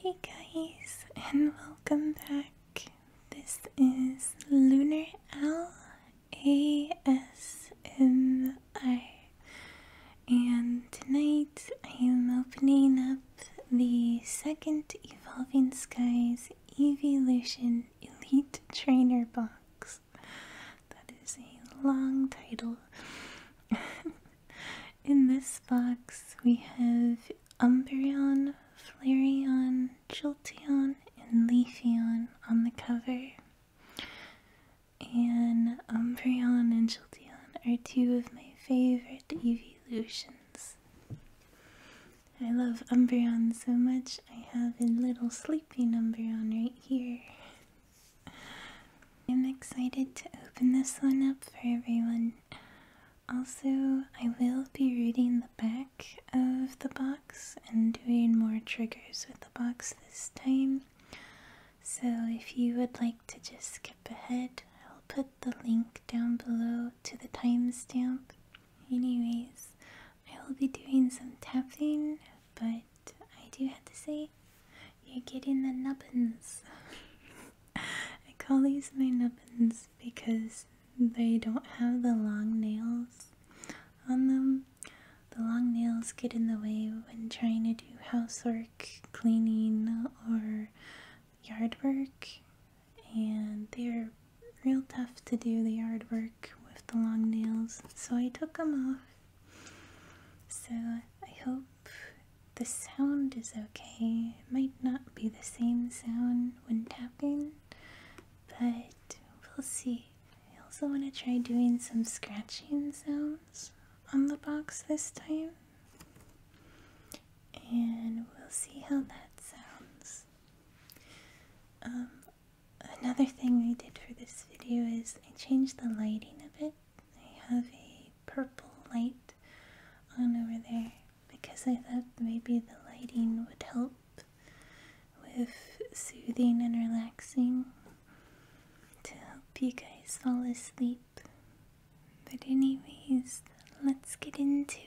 Hey guys, and welcome back. This is Lunar L A S M R, and tonight I am opening up the second Evolving Skies Evolution Elite Trainer box. That is a long title. In this box, we have Umbreon, Flareon, Jolteon, and Leafeon on the cover. And Umbreon and Jolteon are two of my favorite evolutions. I love Umbreon so much, I have a little sleeping Umbreon right here. I'm excited to open this one up for everyone. Also, I will be reading the back of the box and doing more triggers with the box this time. So, if you would like to just skip ahead, I'll put the link down below to the timestamp. Anyways, I will be doing some tapping, but I do have to say, you're getting the nubbins. I call these my nubbins because they don't have the long nails on them. The long nails get in the way when trying to do housework, cleaning, or yard work, and they're real tough to do the yard work with the long nails, so I took them off. So I hope the sound is okay. might not be the same sound when tapping, but we'll see. I also want to try doing some scratching sounds on the box this time, and we'll see how that sounds. Um, another thing I did for this video is I changed the lighting a bit. I have a purple light on over there because I thought maybe the lighting would help with soothing and relaxing to help you guys fall asleep. But, anyways, let's get into it.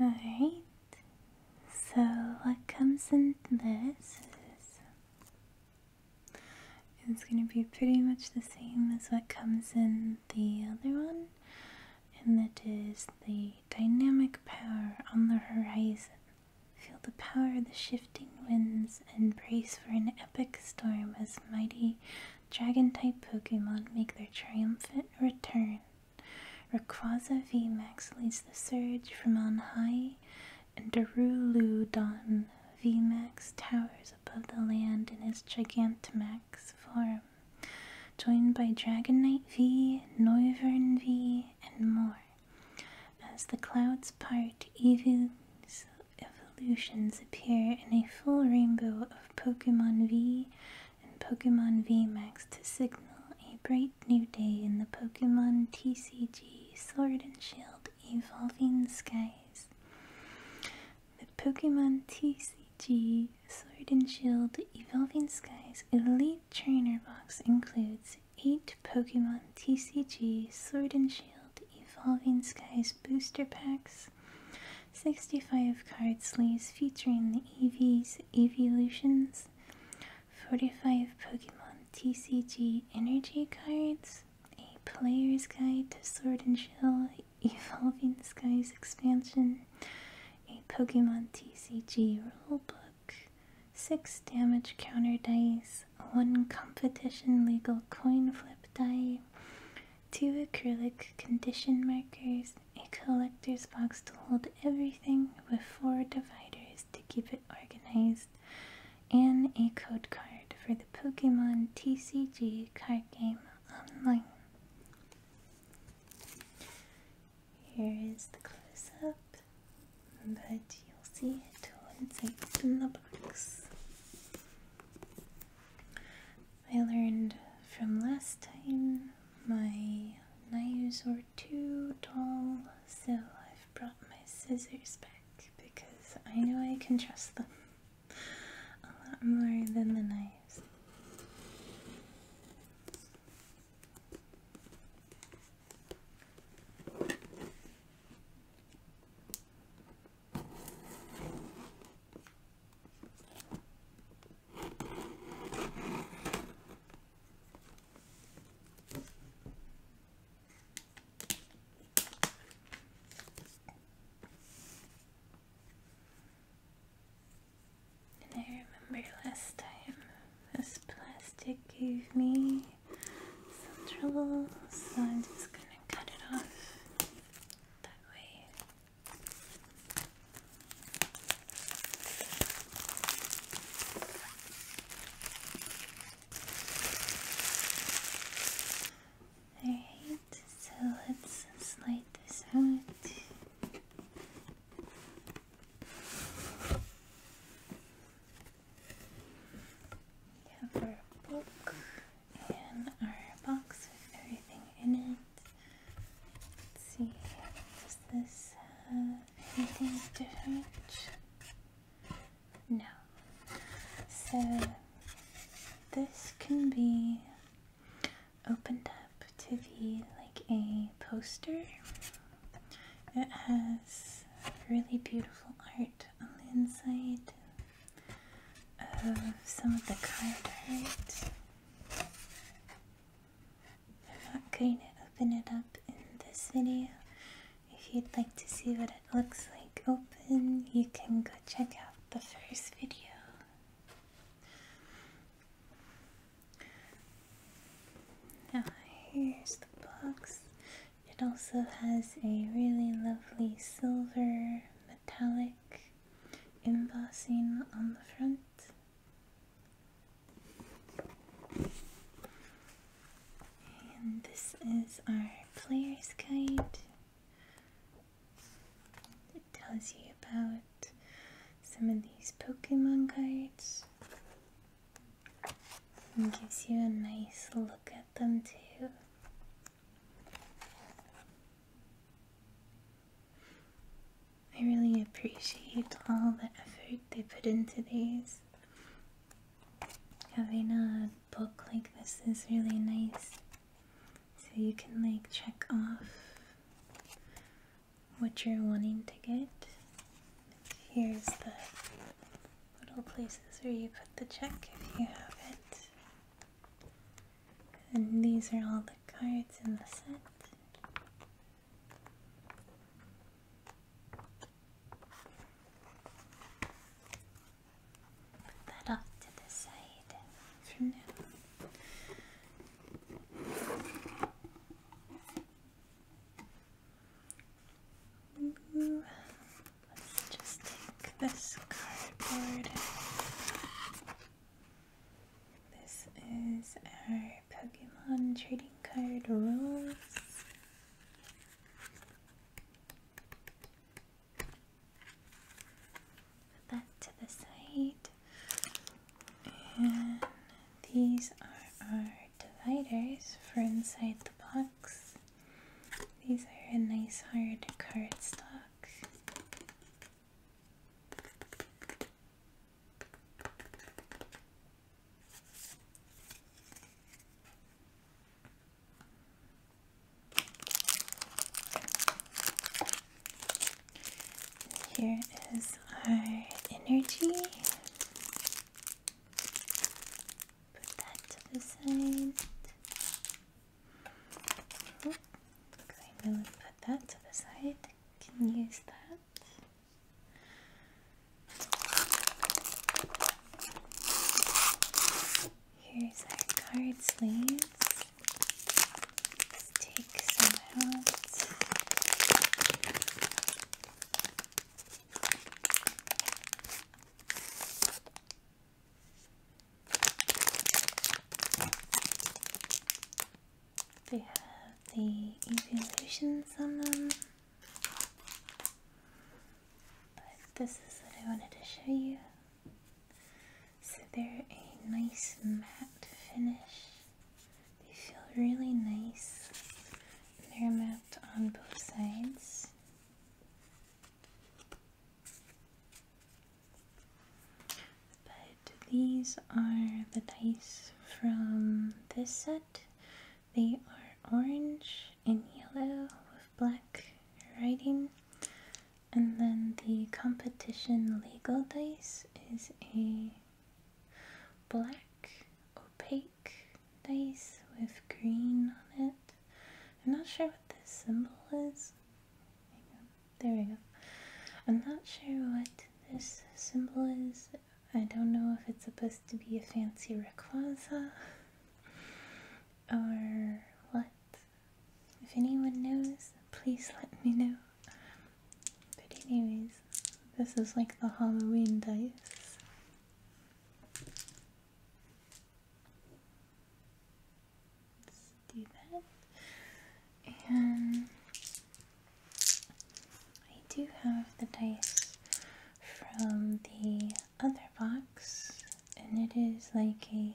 Alright, so what comes in this is it's going to be pretty much the same as what comes in the other one, and that is the dynamic power on the horizon. Feel the power of the shifting winds and brace for an epic storm as mighty dragon type Pokemon make their triumphant return. Rayquaza VMAX leads the surge from on high, and Daruludon VMAX towers above the land in his Gigantamax form, joined by Dragonite V, Noivern V, and more. As the clouds part, evolutions appear in a full rainbow of Pokemon V and Pokemon Max to signal a bright new day in the Pokemon TCG Sword and Shield Evolving Skies. The Pokemon TCG Sword and Shield Evolving Skies Elite Trainer Box includes 8 Pokemon TCG Sword and Shield Evolving Skies booster packs, 65 card sleeves featuring the EVs Evolutions, 45 Pokemon TCG Energy cards, a player's guide to Sword and Shield Evolving Skies expansion, a Pokemon TCG rulebook, 6 damage counter dice, 1 competition legal coin flip die, 2 acrylic condition markers, a collector's box to hold everything with four dividers to keep it organized, and a code card for the Pokemon TCG card game online. Here is the close up, but you'll see it once I open the box. I learned from last time my knives were too tall, so I've brought my scissors back because I know I can trust them a lot more than the knives. And I remember last time this plastic gave me some trouble, so I'm just gonna cut it off that way. Alright, so let's slide this out. We have our book and our box with everything in it. Let's see, does this have uh, anything different? No. So this can be opened up to be like a poster. It has really beautiful art on the inside of some of the card art. I'm not going to open it up in this video. If you'd like to see what it looks like open, you can go check out the first video. here's the box. It also has a really lovely silver metallic embossing on the front. And this is our player's guide. It tells you about some of these Pokemon cards and gives you a nice look at them too. I really appreciate all the effort they put into these. Having a book like this is really nice. So you can like check off what you're wanting to get. Here's the little places where you put the check if you have it. And these are all the cards in the set. Put that off to the side for now. Let's just take this cardboard this is our Pokemon trading card rolls. Put that to the side. And these are our dividers for inside the box. These are a nice hard cardstock. Here is our energy. Put that to the side. I'm going to put that to the side can use that. Here's our card sleeves. take some out. They have the on them, But this is what I wanted to show you. So they're a nice matte finish. They feel really nice. They're matte on both sides. But these are the dice from this set. They are orange and yellow with black writing. And then the competition legal dice is a black opaque dice with green on it. I'm not sure what this symbol is. There we go. I'm not sure what this symbol is. I don't know if it's supposed to be a fancy Rayquaza or what. If anyone knows, please let me know. But anyways, this is like the Halloween dice let's do that. And I do have the dice from the other box, and it is like a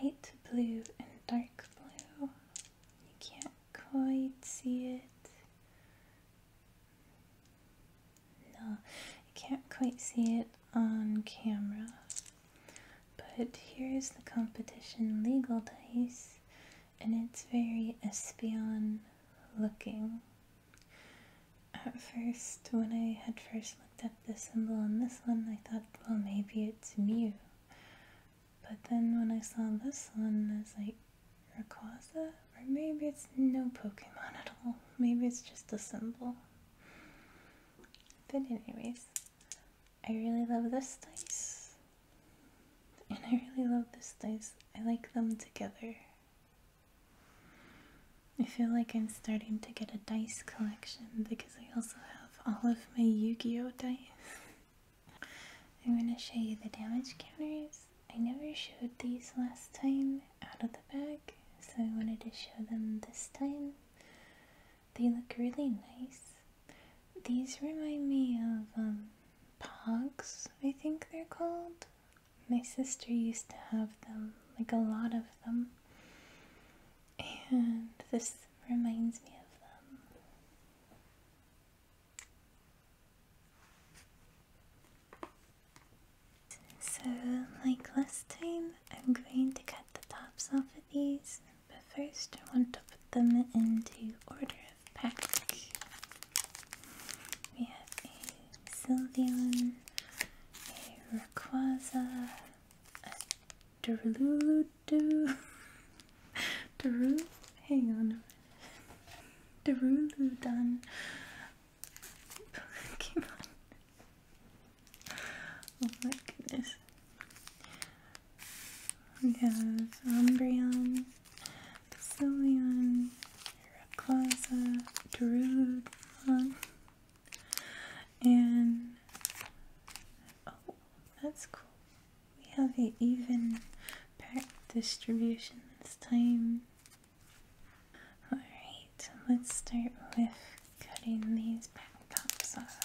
light blue and dark blue. You can't quite see it. No, you can't quite see it on camera. But here's the competition legal dice, and it's very espion looking. At first, when I had first looked at the symbol on this one, I thought, well, maybe it's Mew. But then when I saw this one, as like a Rayquaza? Or maybe it's no Pokemon at all. Maybe it's just a symbol. But anyways, I really love this dice. And I really love this dice. I like them together. I feel like I'm starting to get a dice collection because I also have all of my Yu-Gi-Oh dice. I'm going to show you the damage counters. I never showed these last time out of the bag, so I wanted to show them this time. They look really nice. These remind me of um, pogs, I think they're called. My sister used to have them, like a lot of them. And this reminds me of them. So, like last time, I'm going to cut the tops off of these but first, I want to put them into order of pack. We have a Sylveon, a Rayquaza, a Deruludu, Deru, hang on a minute, Deruludon Pokemon. Oh my goodness. We have Umbreon, Sylveon, Rayquaza, Drudon, and oh, that's cool. We have an even pack distribution this time. Alright, let's start with cutting these back tops off.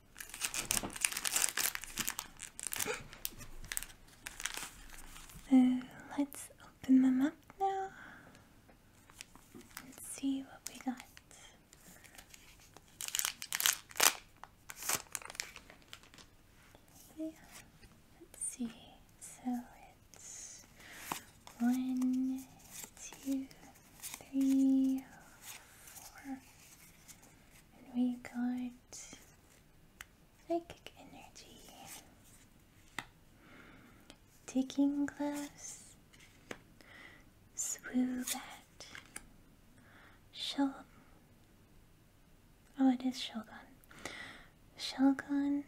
let's open them up now and see what we got. Okay. Let's see. So it's one, two, three, four, and we got psychic energy, Digging glass, swoo bat, shell. Oh, it is Shogun. Shogun.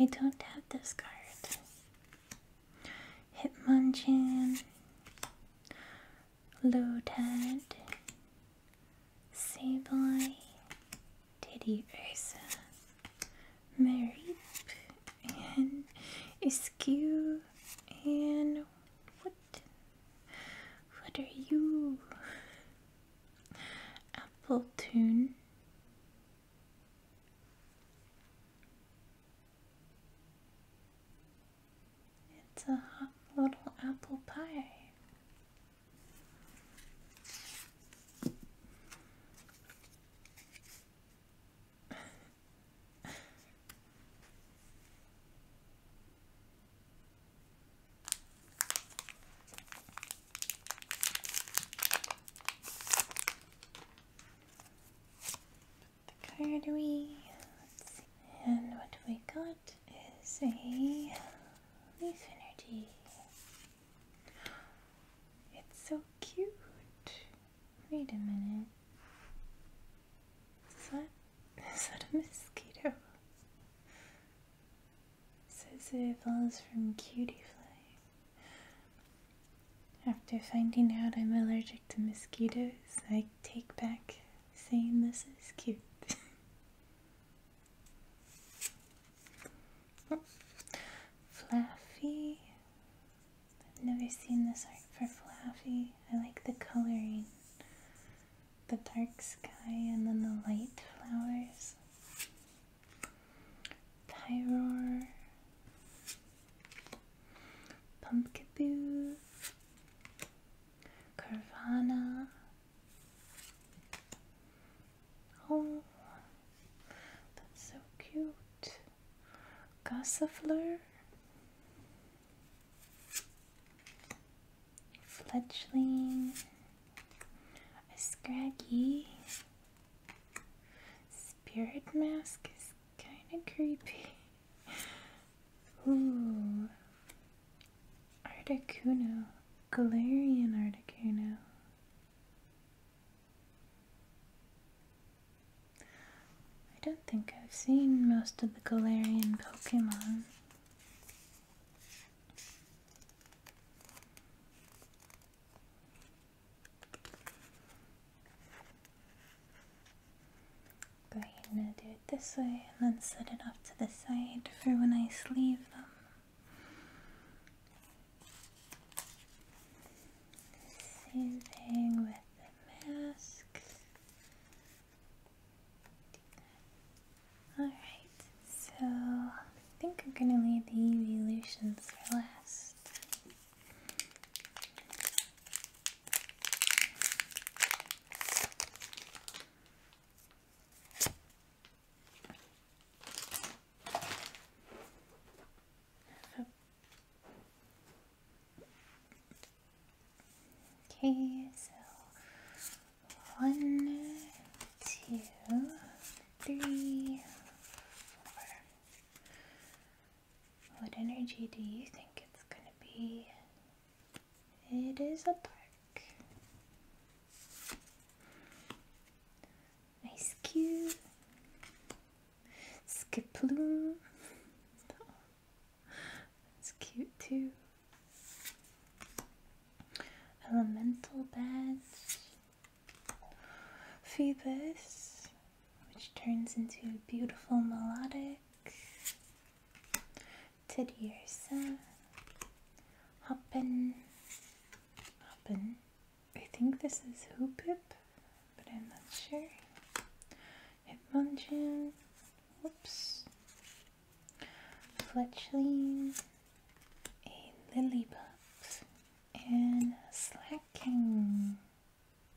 I don't have this card. Hitmonchan. Lotad, Sableye, Teddy Ursa, Marip, and Eskew, and what? What are you? Appletoon. It's a hot little apple pie the card away. Let's see. And what we got is a leaf energy. It's so cute. Wait a minute. Is that, is that a mosquito? It says it evolves from cutie After finding out I'm allergic to mosquitoes, I take back saying this is cute. Fluffy. I've never seen this art for Fluffy. I like the coloring. The dark sky and then the light flowers. Pyroar. Pumpkaboo. Carvana. Oh, that's so cute. Gossifleur. Fledgling. A Scraggy. Spirit Mask is kind of creepy. Ooh. Articuno. Galarian Articuno. I don't think I've seen most of the Galarian Pokemon. But you're gonna do it this way and then set it off to the side for when I sleeve them. Soothing with the mask. Alright, so I think I'm gonna leave the UV for last. Okay, so one, two, three, four. What energy do you think it's going to be it is a park. nice, cube. Skiploom. It's cute too. Elemental badge. Phoebus, which turns into beautiful melodic Tediersa, Hoppin, Hoppin. I think this is Hoopip, but I'm not sure. Hitmonchan, Oops. Fletchling, a Lillipup, and Slacking.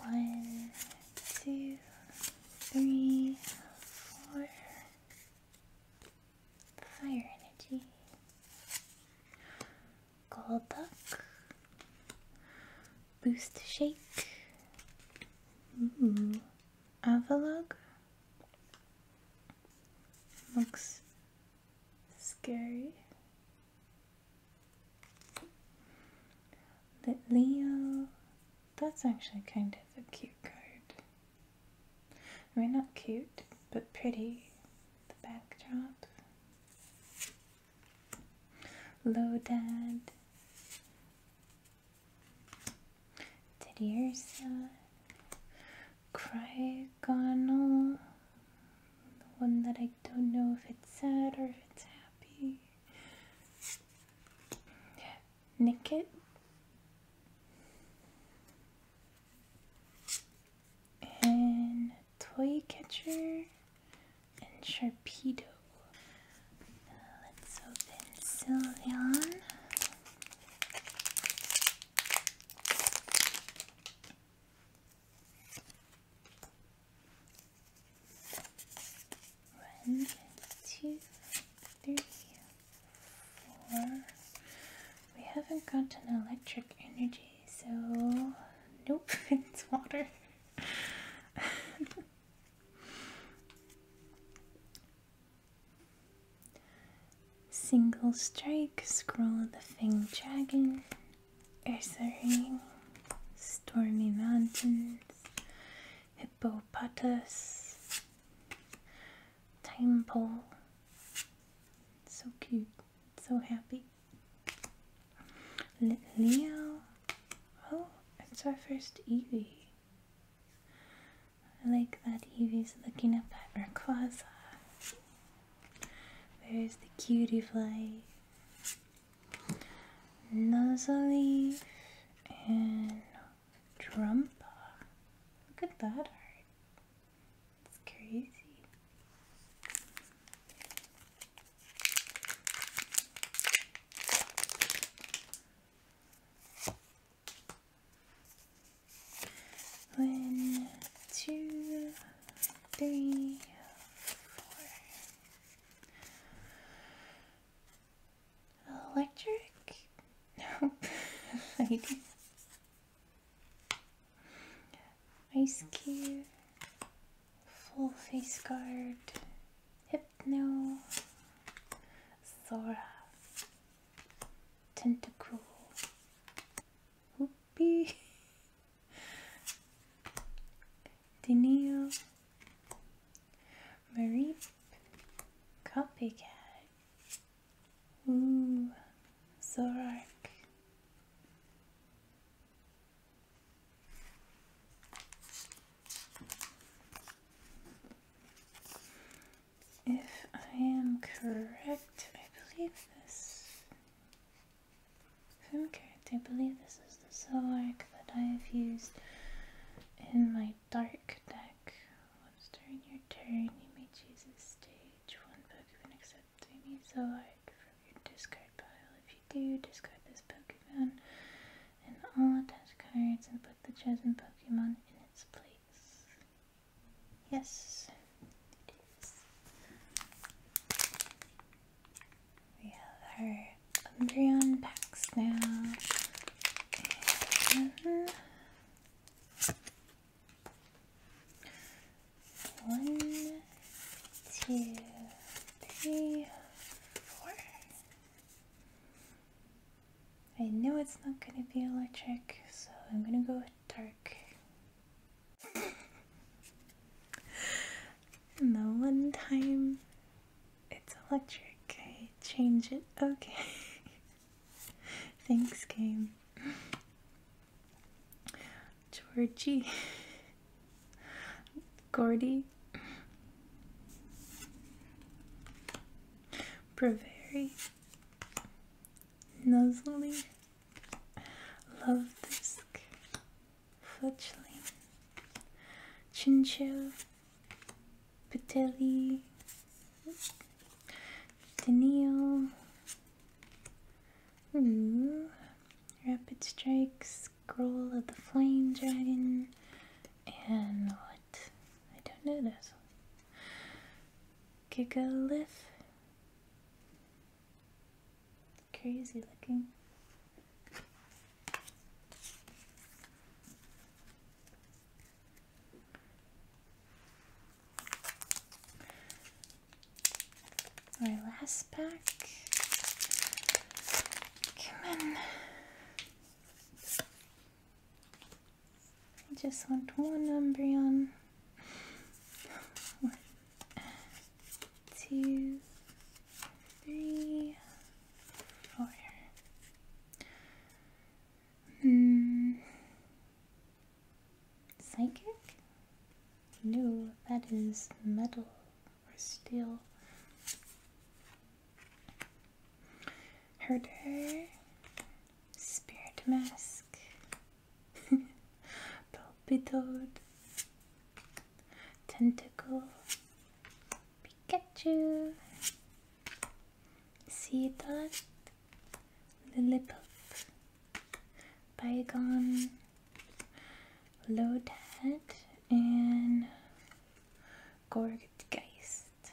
One, two, three, four. Fire energy. Gold duck. Boost shake. Ooh. Mm-hmm. Avalog. Looks scary Leo that's actually kind of a cute card I mean not cute but pretty the backdrop Lodad Dad. Ursa Cry oregano, the one that I don't know if it's sad or if it's happy. Nikit And toy catcher and sharpedo. Uh, let's open Sylveon. One, two, three, four. We haven't got an electric energy, so nope, it's water. Single strike, scroll the thing, Dragon, ring, Stormy Mountains, hippopotamus, temple. So cute, so happy. Leo. Oh, it's our first Eevee. I like that Evie's looking up at her Rayquaza. Where's the cutie fly? Nuzzleaf and Trumpa. Look at that art. It's crazy. One, two, three, four. Electric? No. Ice cube. Full face guard. Hypno. Sora. Tentacle. Whoopee. Denia. Marie. Copycat. Ooh. Zorak if I am correct, I believe this. If i believe this is the Zorak that I have used in my dark deck. Once during your turn, you may choose a stage, one Pokemon except any Zoroark from your discard pile. If you do, discard this Pokemon and all attached cards and put the chosen Pokemon in its place. Yes, We have our Umbreon packs now. one, two, three, four. I know it's not gonna be electric, so I'm gonna go dark. and the one time it's electric, I change it. Okay. Thanks, game. Georgie. Gordy. Braveri. Nuzzly, Love Disc, Fletchling, Chinchil, Patelli, Daniel, Ooh. Mm, rapid Strike, Scroll of the Flame Dragon, and what? I don't know this. Gigalith. Crazy looking. Our last pack. Come on. I just want one Umbreon. one, two, three, four. Hmm. Psychic? No, that is metal or steel. Herder, Spirit Mask, Pulpitoad, Tentacle, Pikachu, Seedot, Lilliput, Bygone, Loadhead, and Gorgedgeist.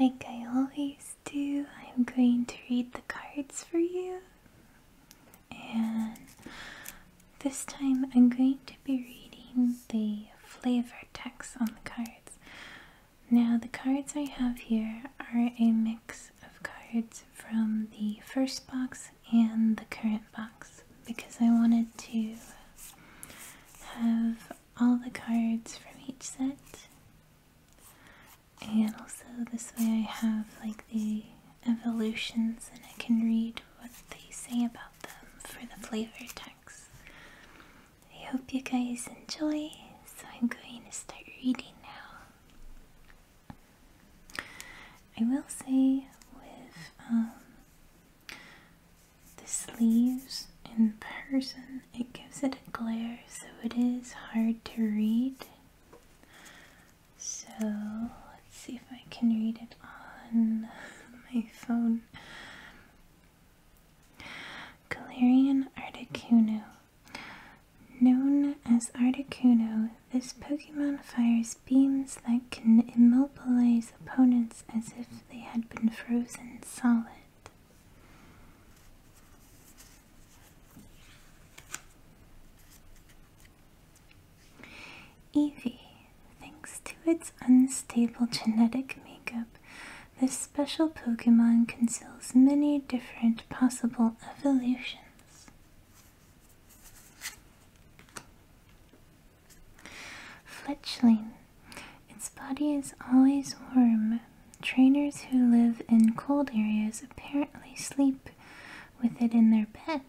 Like I always do, I'm going to read the cards for you and this time I'm going to be reading the flavor text on the cards. Now, the cards I have here are a mix of cards from the first box and the current box because I wanted to have all the cards from each set and also this way I have like the evolutions and I can read what they say about them for the flavor text. I hope you guys enjoy, so I'm going to start reading now. I will say with um, the sleeves in person, it gives it a glare so it is hard to read. So let's see if I can read it on my phone. Galarian Articuno. Known as Articuno, this Pokemon fires beams that can immobilize opponents as if they had been frozen solid. Evie, thanks to its unstable genetic makeup, this special Pokemon conceals many different possible evolutions. Fletchling. Its body is always warm. Trainers who live in cold areas apparently sleep with it in their bed.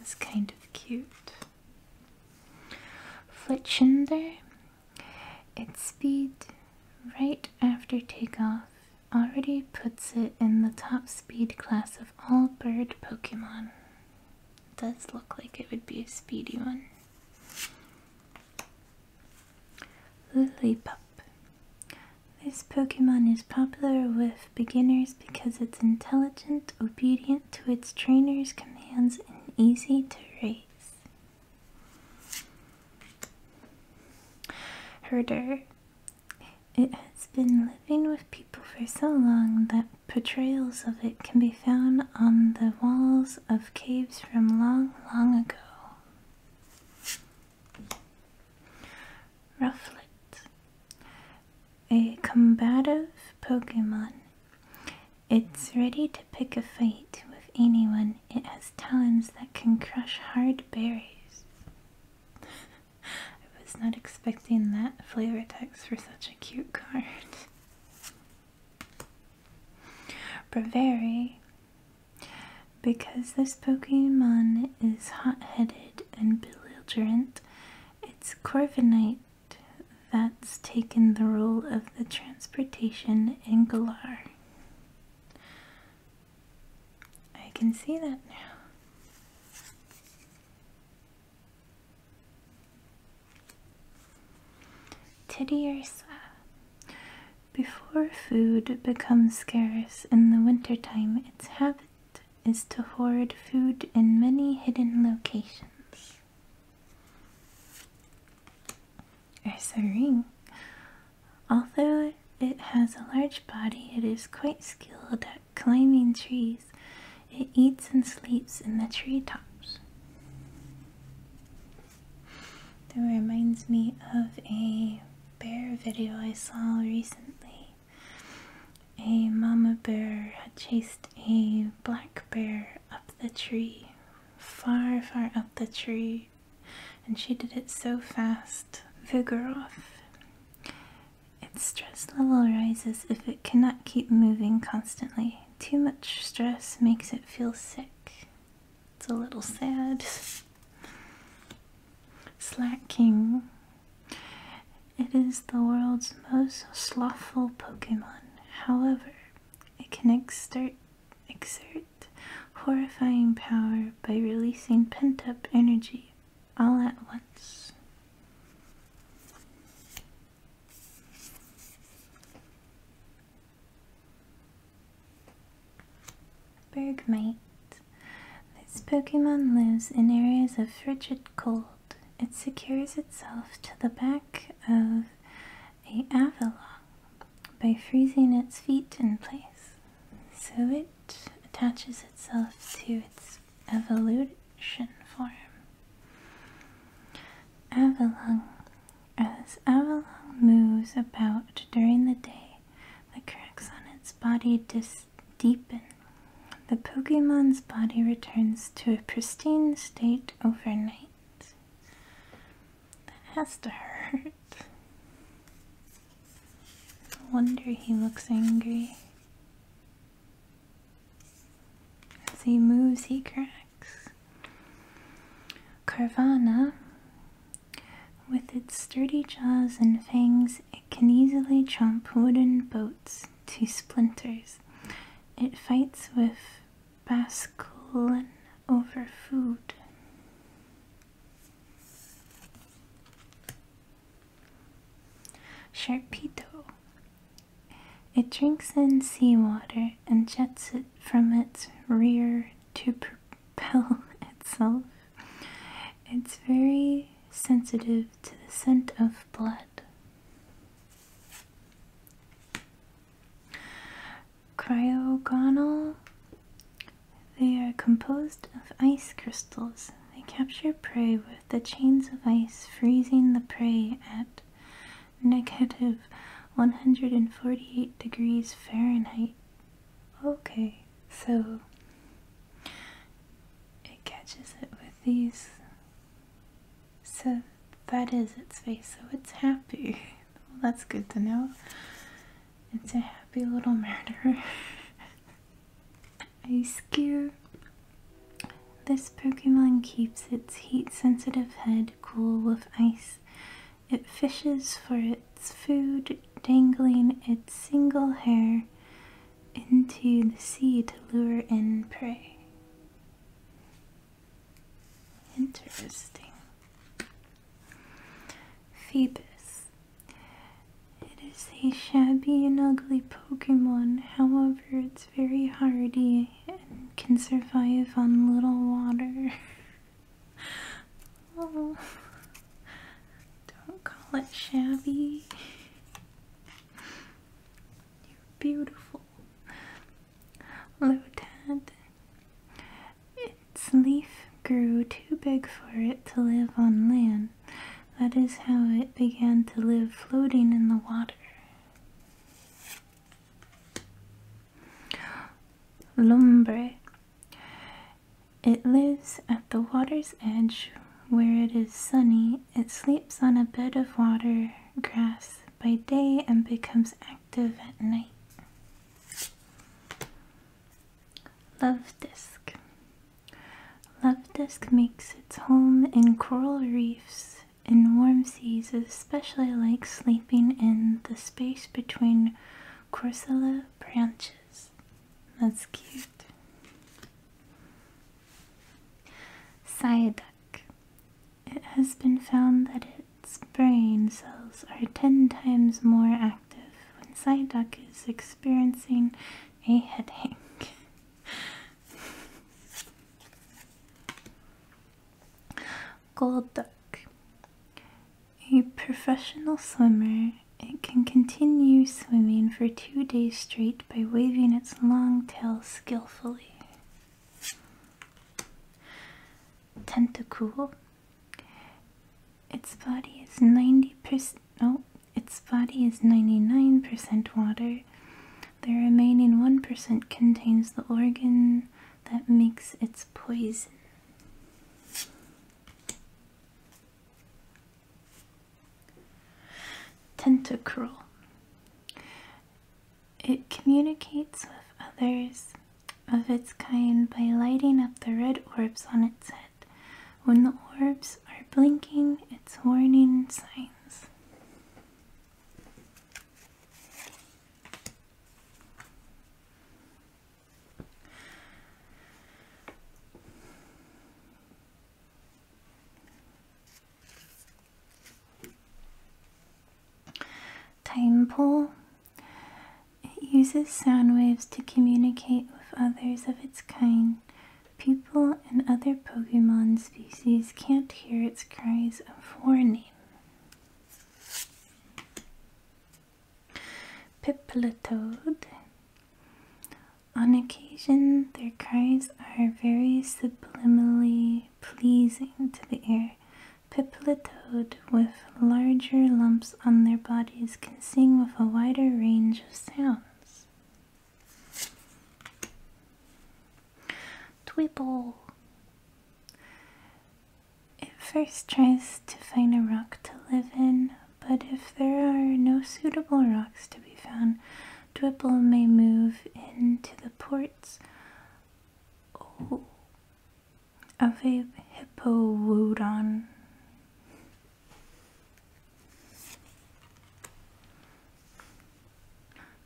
it's kind of cute. Flitchender, its speed right after takeoff already puts it in the top speed class of all bird Pokemon. does look like it would be a speedy one. Lillipup. This Pokemon is popular with beginners because it's intelligent, obedient to its trainer's commands, and easy to raise. Herder. It has been living with people for so long that portrayals of it can be found on the walls of caves from long, long ago. Rufflet, a combative Pokemon. It's ready to pick a fight with anyone. It has talons that can crush hard berries. I was not expecting that flavor text for such a cute card. Breviary because this Pokemon is hot headed and belligerent, it's Corviknight that's taken the role of the Transportation Angular. I can see that now. Teddy before food becomes scarce in the wintertime, its habit is to hoard food in many hidden locations. Ursaring. Although it has a large body, it is quite skilled at climbing trees. It eats and sleeps in the tree tops. That reminds me of a bear video I saw recently, a mama bear had chased a black bear up the tree, far, far up the tree, and she did it so fast. Vigoroth. Its stress level rises if it cannot keep moving constantly. Too much stress makes it feel sick. It's a little sad. Slacking. It is the world's most slothful Pokemon. However, it can exert, exert horrifying power by releasing pent up energy all at once. Bergmite. This Pokemon lives in areas of frigid cold. It secures itself to the back of a Avalon by freezing its feet in place. So it attaches itself to its evolution form. Avalon. As Avalon moves about during the day, the cracks on its body dis deepen. The Pokemon's body returns to a pristine state overnight. That has to hurt. No wonder he looks angry. As he moves, he cracks. Carvana with its sturdy jaws and fangs, it can easily chomp wooden boats to splinters. It fights with Basculin over food. Sharpedo. It drinks in seawater and jets it from its rear to propel itself. It's very sensitive to the scent of blood. Cryogonal. They are composed of ice crystals. They capture prey with the chains of ice, freezing the prey at negative 148 degrees Fahrenheit Okay, so it catches it with these. So that is its face, so it's happy. Well, that's good to know. It's a happy little murderer. Ice Gear. This Pokemon keeps its heat sensitive head cool with ice it fishes for its food, dangling its single hair into the sea to lure in prey. Interesting. Phoebus. It is a shabby and ugly Pokemon, however, it's very hardy and can survive on little water. oh, don't call it shabby. You're beautiful, Lieutenant. Its leaf grew too big for it to live on land. That is how it began to live floating in the water. Lumbre. It lives at the water's edge where it is sunny. It sleeps on a bed of water grass by day and becomes active at night. Love Disc. Love Disc makes its home in coral reefs in warm seas, especially likes sleeping in the space between corsilla branches. That's cute. Cyadac. It has been found that its brain cells are 10 times more active when Psyduck is experiencing a headache. Gold Duck a professional swimmer, it can continue swimming for two days straight by waving its long tail skillfully. Tentacle. Its body is 90%. No, its body is 99% water. The remaining 1% contains the organ that makes its poison. Tentacruel. It communicates with others of its kind by lighting up the red orbs on its head. When the orbs are blinking, it's warning signs. Time It uses sound waves to communicate with others of its kind. People and other Pokemon species can't hear its cries of warning. Pipilitoad. On occasion, their cries are very subliminally pleasing to the ear. Pipilitoad with larger lumps on their bodies can sing with a wider range of sounds. Tweeple. It first tries to find a rock to live in, but if there are no suitable rocks to be found, Dwipple may move into the ports oh, of a hippowodon.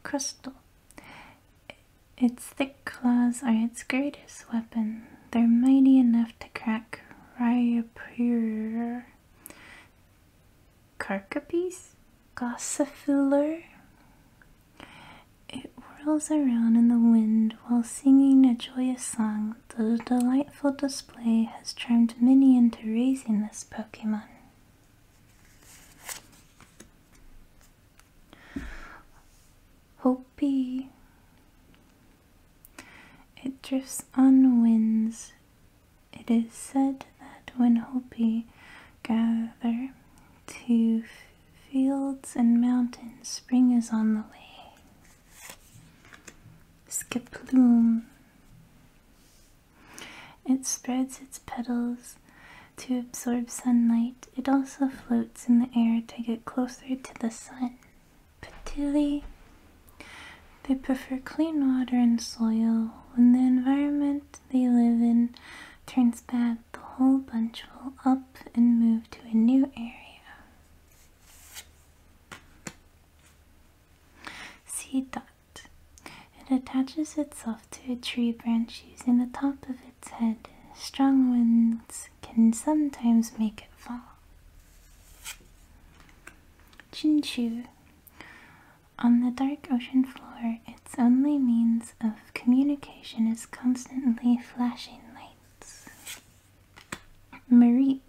Crystal. Its thick claws are its greatest weapons. They're mighty enough to crack Ryapur. Carcapes? Gossifiller? It whirls around in the wind while singing a joyous song. The delightful display has charmed many into raising this Pokemon. Hopi it drifts on winds. It is said that when Hopi gather to fields and mountains, spring is on the way. Skip Skiploom. It spreads its petals to absorb sunlight. It also floats in the air to get closer to the sun. Patili. They prefer clean water and soil. When the environment they live in turns bad, the whole bunch will up and move to a new area. C dot. It attaches itself to a tree branch using the top of its head. Strong winds can sometimes make it fall. Chinchu. On the dark ocean floor, its only means of communication is constantly flashing lights. Mareep.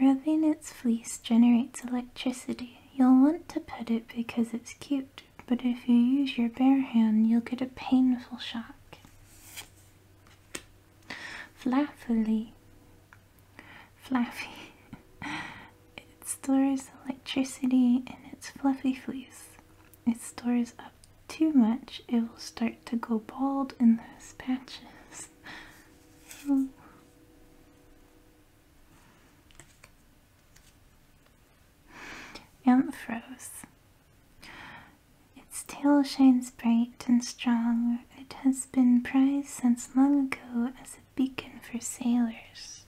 Rubbing its fleece generates electricity. You'll want to pet it because it's cute, but if you use your bare hand, you'll get a painful shock. Fluffily. Fluffy. it stores electricity in its fluffy fleece. It stores up too much, it will start to go bald in those patches. oh. Amphros. Its tail shines bright and strong. It has been prized since long ago as a beacon for sailors.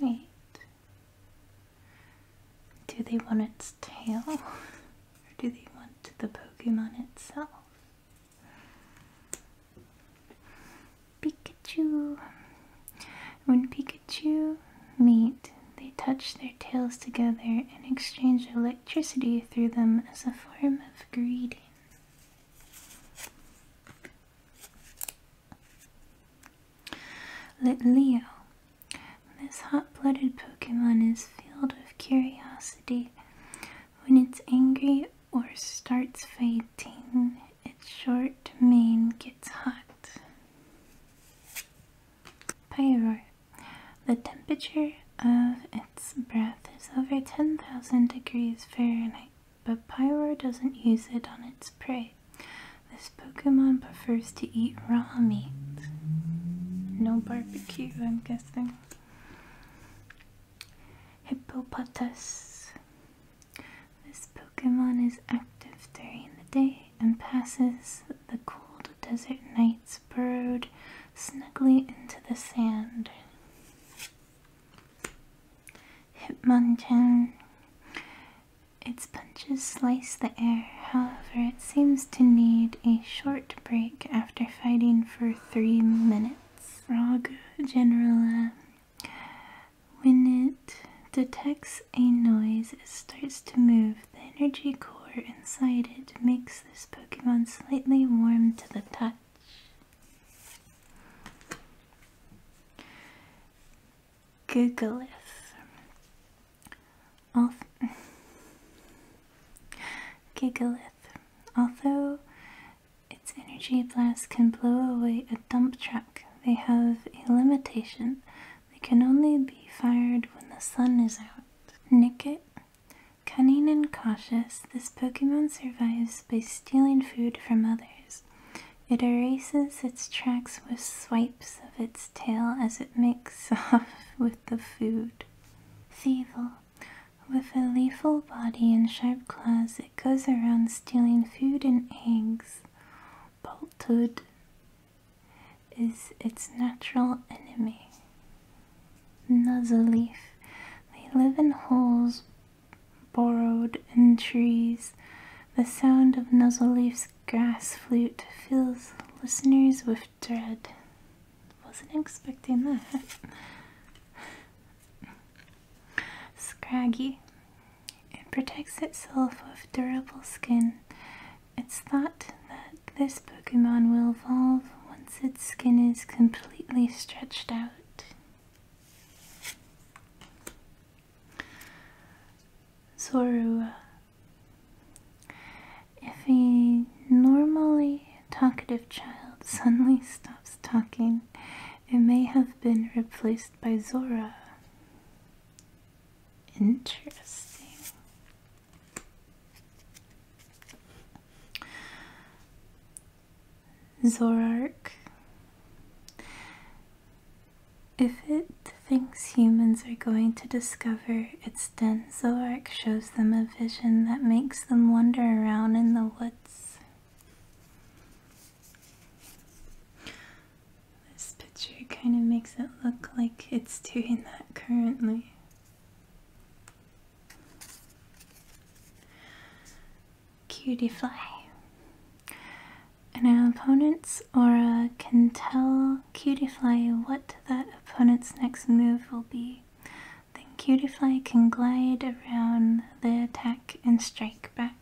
Wait. Do they want its tail? Or do they want the Pokemon itself? Pikachu! When Pikachu meet, they touch their tails together and exchange electricity through them as a form of greeting. Let Leo. This hot blooded Pokemon is filled with curiosity. When it's angry or starts fighting, its short mane gets hot. Pyro. The temperature of its breath is over 10,000 degrees Fahrenheit, but Pyro doesn't use it on its prey. This Pokemon prefers to eat raw meat. No barbecue, I'm guessing. Hippopotas. This Pokemon is active during the day and passes the cold desert nights burrowed snugly into the sand. Hitmonchan. Its punches slice the air, however, it seems to need a short break after fighting for three minutes. Frog Generala. When it detects a noise, it starts to move the energy core inside it makes this Pokemon slightly warm to the touch. Gigalith. Although its energy blast can blow away a dump truck, they have a limitation they can only be fired when the sun is out. Nicket. Cunning and cautious, this Pokemon survives by stealing food from others. It erases its tracks with swipes of its tail as it makes off with the food. Thievul. With a lethal body and sharp claws, it goes around stealing food and eggs. Boltud is its natural enemy. Nuzzleaf. They live in holes burrowed in trees. The sound of Nuzzleleaf's grass flute fills listeners with dread. Wasn't expecting that. Scraggy. It protects itself with durable skin it's thought that this Pokemon will evolve once its skin is completely stretched out. Zorua. If a normally talkative child suddenly stops talking, it may have been replaced by Zora. Interesting. Zorark. If it thinks humans are going to discover its den, Zorark shows them a vision that makes them wander around in the woods. This picture kind of makes it look like it's doing that currently. Cutie Fly. An opponent's aura can tell Cutie Fly what that opponent's next move will be. Then Cutie Fly can glide around the attack and strike back.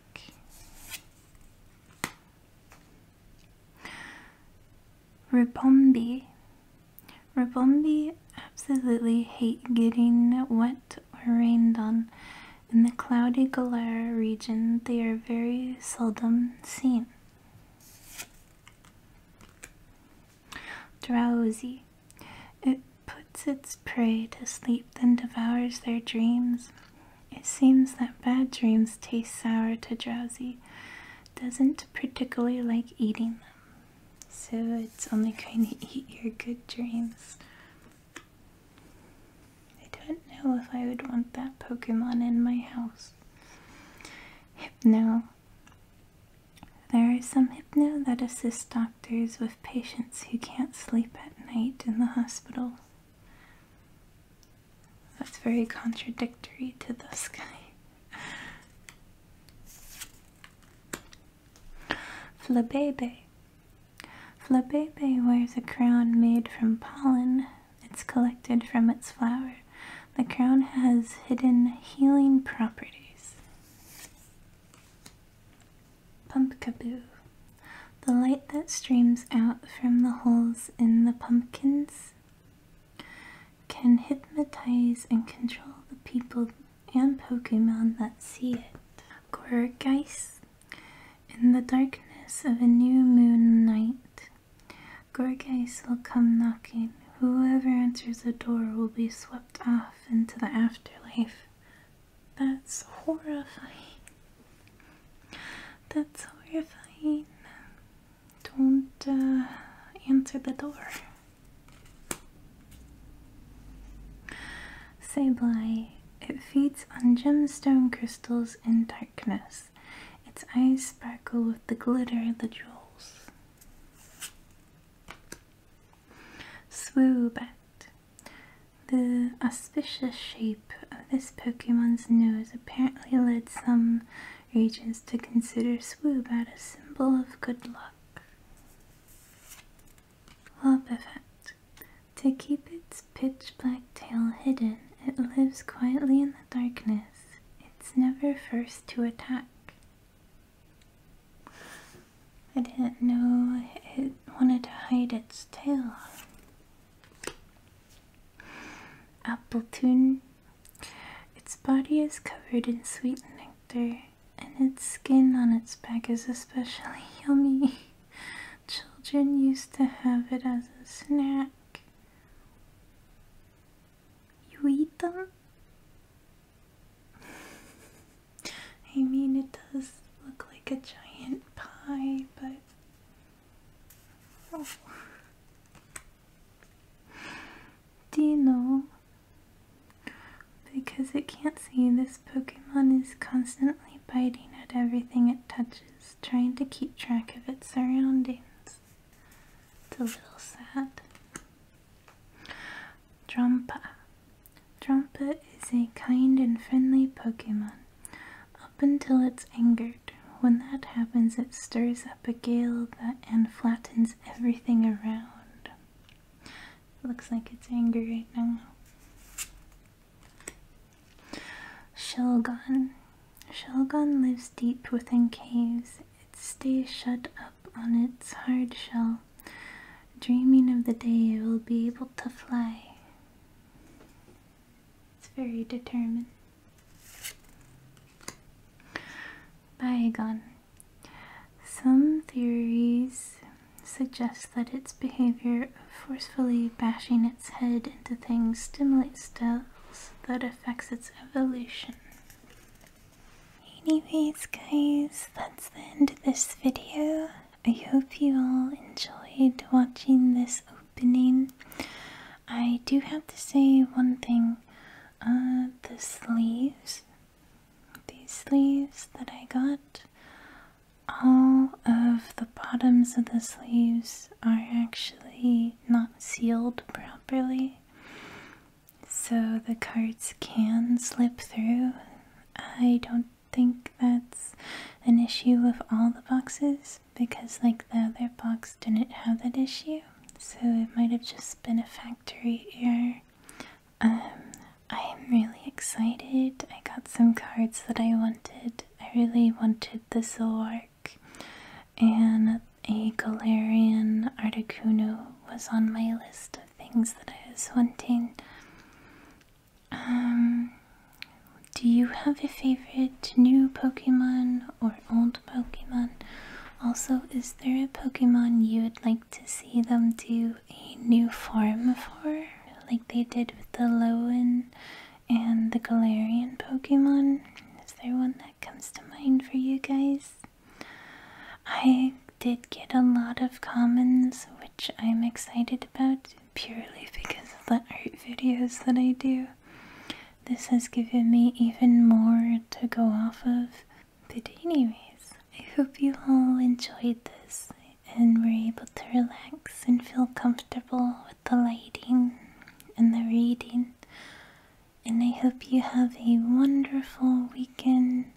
Ribombi. Ribombi absolutely hate getting wet or rained on. In the cloudy Galera region, they are very seldom seen. Drowsy. It puts its prey to sleep, then devours their dreams. It seems that bad dreams taste sour to drowsy. Doesn't particularly like eating them, so it's only going to eat your good dreams. I don't know if I would want that Pokemon in my house. Hypno. There are some hypno that assist doctors with patients who can't sleep at night in the hospital. That's very contradictory to the sky. Flabébé. Flabébé wears a crown made from pollen. It's collected from its flower. The crown has hidden healing properties. Pumpkaboo. The light that streams out from the holes in the pumpkins can hypnotize and control the people and Pokemon that see it. Gorgeist in the darkness of a new moon night. Gorgeist will come knocking. Whoever answers the door will be swept off into the afterlife. That's horrifying. That's horrifying. Don't uh, answer the door. Say Sableye. It feeds on gemstone crystals in darkness. Its eyes sparkle with the glitter of the jewels. Swoobat. The auspicious shape of this Pokemon's nose apparently led some agents to consider swoop as a symbol of good luck. Lop To keep its pitch black tail hidden, it lives quietly in the darkness. It's never first to attack. I didn't know it wanted to hide its tail. Appletoon its body is covered in sweet nectar, and its skin on its back is especially yummy. Children used to have it as a snack. You eat them? I mean, it does look like a giant pie, but. Oh. Do you know? Because it can't see, this Pokemon is constantly biting at everything it touches, trying to keep track of its surroundings. It's a little sad. Drumpa, Drumpa is a kind and friendly Pokemon, up until it's angered when that happens, it stirs up a gale that, and flattens everything around. It looks like it's angry right now. Shelgon. Shelgon lives deep within caves. It stays shut up on its hard shell, dreaming of the day it will be able to fly. It's very determined. Biogon. Some theories suggest that its behavior of forcefully bashing its head into things stimulates cells that affects its evolution. Anyways guys, that's the end of this video. I hope you all enjoyed watching this opening. I do have to say one thing. Uh, the sleeves, these sleeves that I got, all of the bottoms of the sleeves are actually not sealed properly, so the cards can slip through. I don't think that's an issue with all the boxes because, like, the other box didn't have that issue so it might have just been a factory error. Um, I am really excited. I got some cards that I wanted. I really wanted the Zoroark, and a Galarian Articuno was on my list of things that I was wanting. Um, do you have a favorite new Pokemon or? old Pokemon. Also, is there a Pokemon you would like to see them do a new form for, like they did with the Lowen and the Galarian Pokemon? Is there one that comes to mind for you guys? I did get a lot of comments, which I'm excited about purely because of the art videos that I do. This has given me even more to go off of. But, anyways, I hope you all enjoyed this and were able to relax and feel comfortable with the lighting and the reading. And I hope you have a wonderful weekend.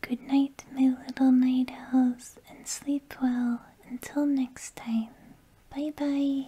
Good night, my little night owls, and sleep well until next time. Bye bye.